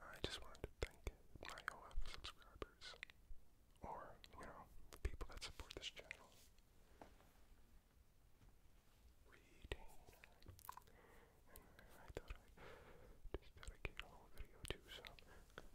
I just wanted to thank my OF subscribers, or, you know, the people that support this channel. Reading. I thought I'd just dedicate a whole video to some controller type.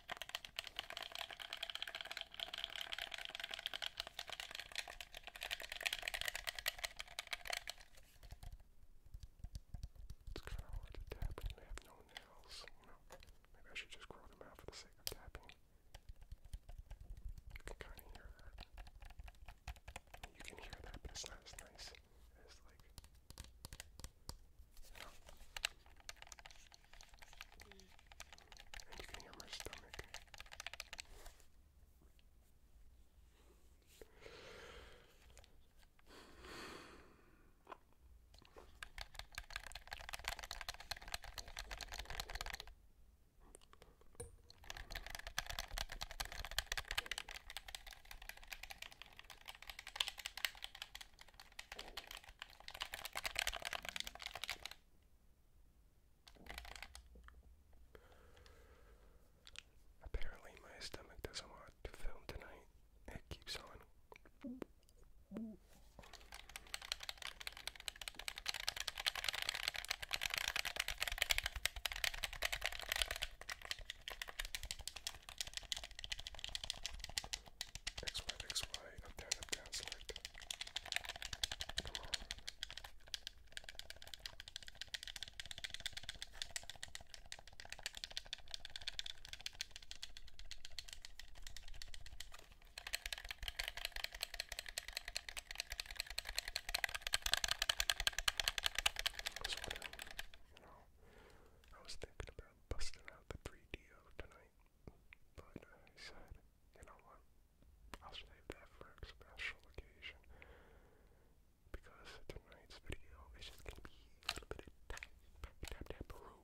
It's kind of hard to tap when you have no nails, you know. Maybe I should just grow them out for the sake of tapping. You can kind of hear that. You can hear that, but it's not as nice as like and you can hear my stomach. Apparently, my stomach doesn't want to film tonight. It keeps on. X Y X Y up down, up down, select. Come on. I was you know, I was thinking about busting out the 3DO tonight. But he said, you know what, I'll save that for a special occasion. Because tonight's video is just gonna be a little bit of tap, tap, tap, taparoo.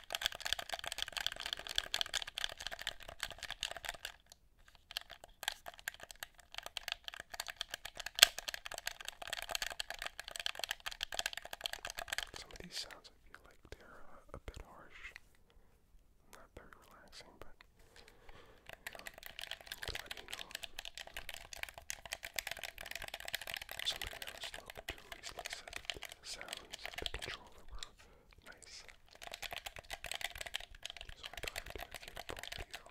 Some of these sounds I feel like they're uh, a bit harsh, not very relaxing, but let me know. Somebody else was talking to recently said that sounds of the controller were nice. So I thought I'd do a full video.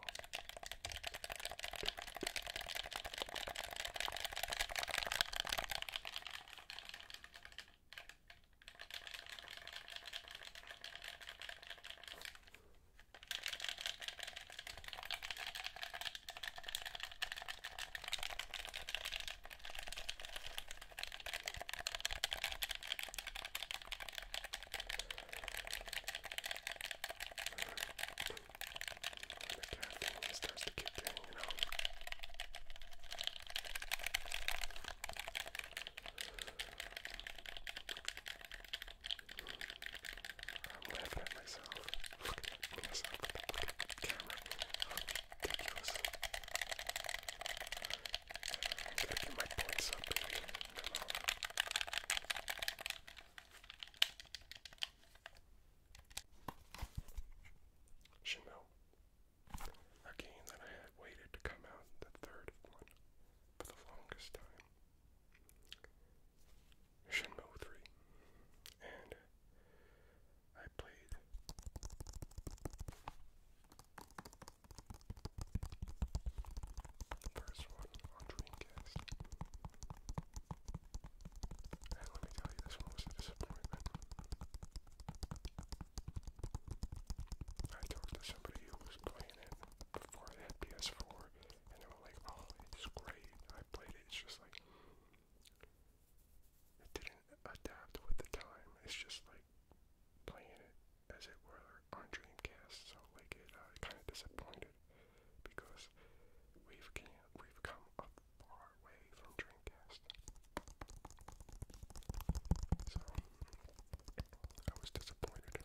When it starts to kick in, you know. I'm laughing at myself. Look at myself with the camera ridiculous. Gotta baby. Come on. Chanel. A game that I had waited to come out, the third one, for the longest time. Shenmue 3. And I played. first one on Dreamcast. And let me tell you, this one was a I talked to somebody who was playing it before it had PS4, and they were like, oh, it's great. I played it, it's just like, it didn't adapt with the time. It's just like playing it as it were on Dreamcast. So like it uh, kind of disappointed because we've we've come a far way from Dreamcast. So I was disappointed.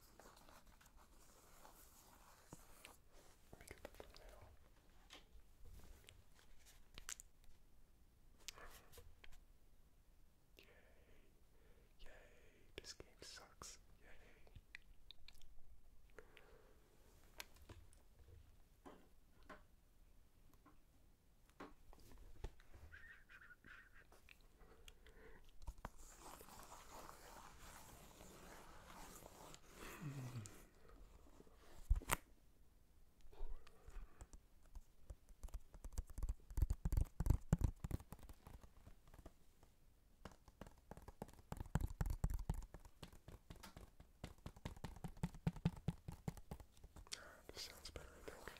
Yay. Yay. This game sucks. This sounds better, I think.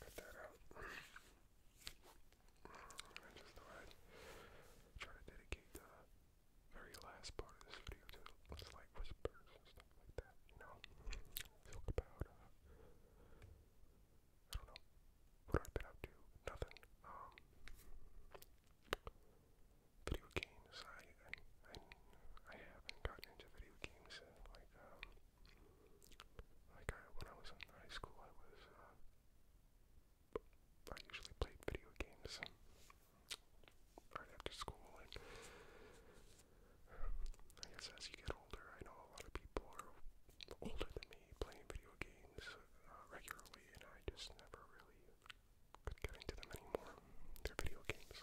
Cut that out. just thought I'd try to dedicate the very last part of this video to like whispers and stuff like that, you know? Talk about, uh, I don't know, what I've been up to, nothing. Um, video games, I, I, have gotten into video games uh, like, um, like I, uh, when I was in high school, I was uh, I usually played video games um, right after school, and um, I guess as you get older, I know a lot of people are older than me playing video games uh, regularly, and I just never really could get into them anymore. They're video games.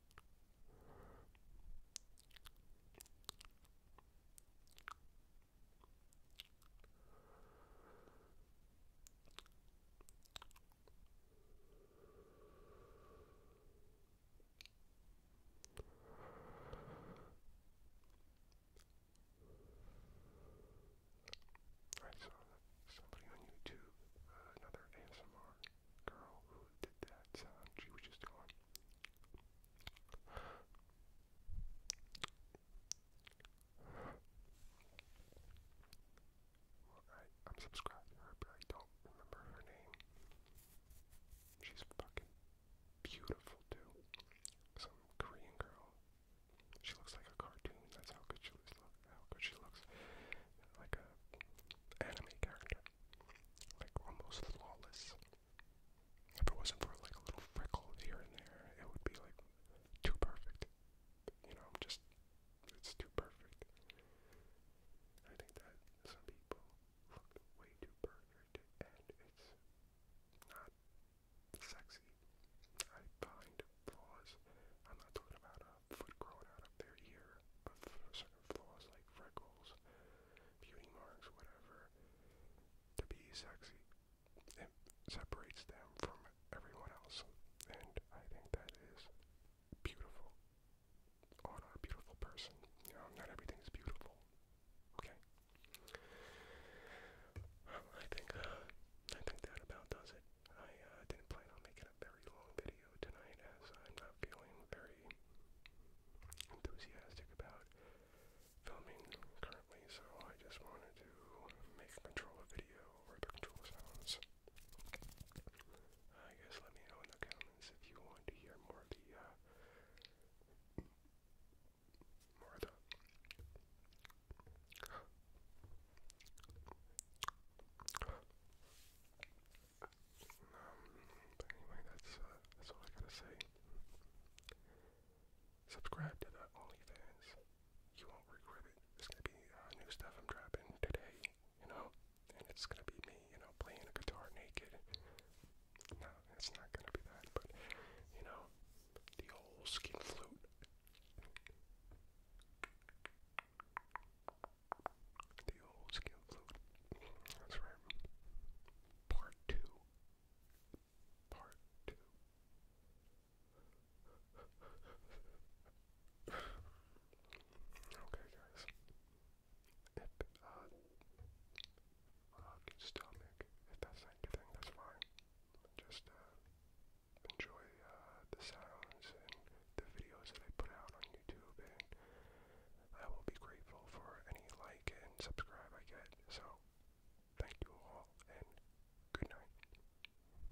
I saw somebody on YouTube, uh, another ASMR girl who did that She was just going. I, am subscribed I don't remember her name. She's fucking beautiful, too. Some Korean girl. She looks like a cartoon. That's how good she looks. How good she looks. Like a anime character like almost flawless. If it wasn't for like a little freckle here and there, it would be like too perfect. You know, I'm just it's too perfect. I think that some people look way too perfect and it's not sexy. I find flaws. I'm not talking about uh uh, growing out of their ear, but certain flaws like freckles, beauty marks, whatever, to be sexy. It separates them from everyone else, and I think that is beautiful on a beautiful person. You know, not everything is beautiful. Okay. I think I think that about does it. I uh, didn't plan on making very long video tonight as I'm not feeling very enthusiastic about filming currently, so I just wanted to make a control video or the controller sounds. I guess let me know in the comments if you want to hear more of the uh, more the um, but anyway, that's uh, that's all I gotta say. Subscribe to the OnlyFans. You won't regret it. It's gonna be uh, new stuff I'm dropping today, you know, and it's gonna be me, you know, playing a guitar naked. No, it's not gonna be that, but you know, the old skin flute. The old skin flute. That's right. Part two. Part two. okay, guys. If, uh, uh, just stomach. If that's not your thing, that's fine. Just, uh, enjoy, uh, the sounds the videos that I put out on YouTube, and I will be grateful for any like and subscribe I get. So, thank you all, and good night.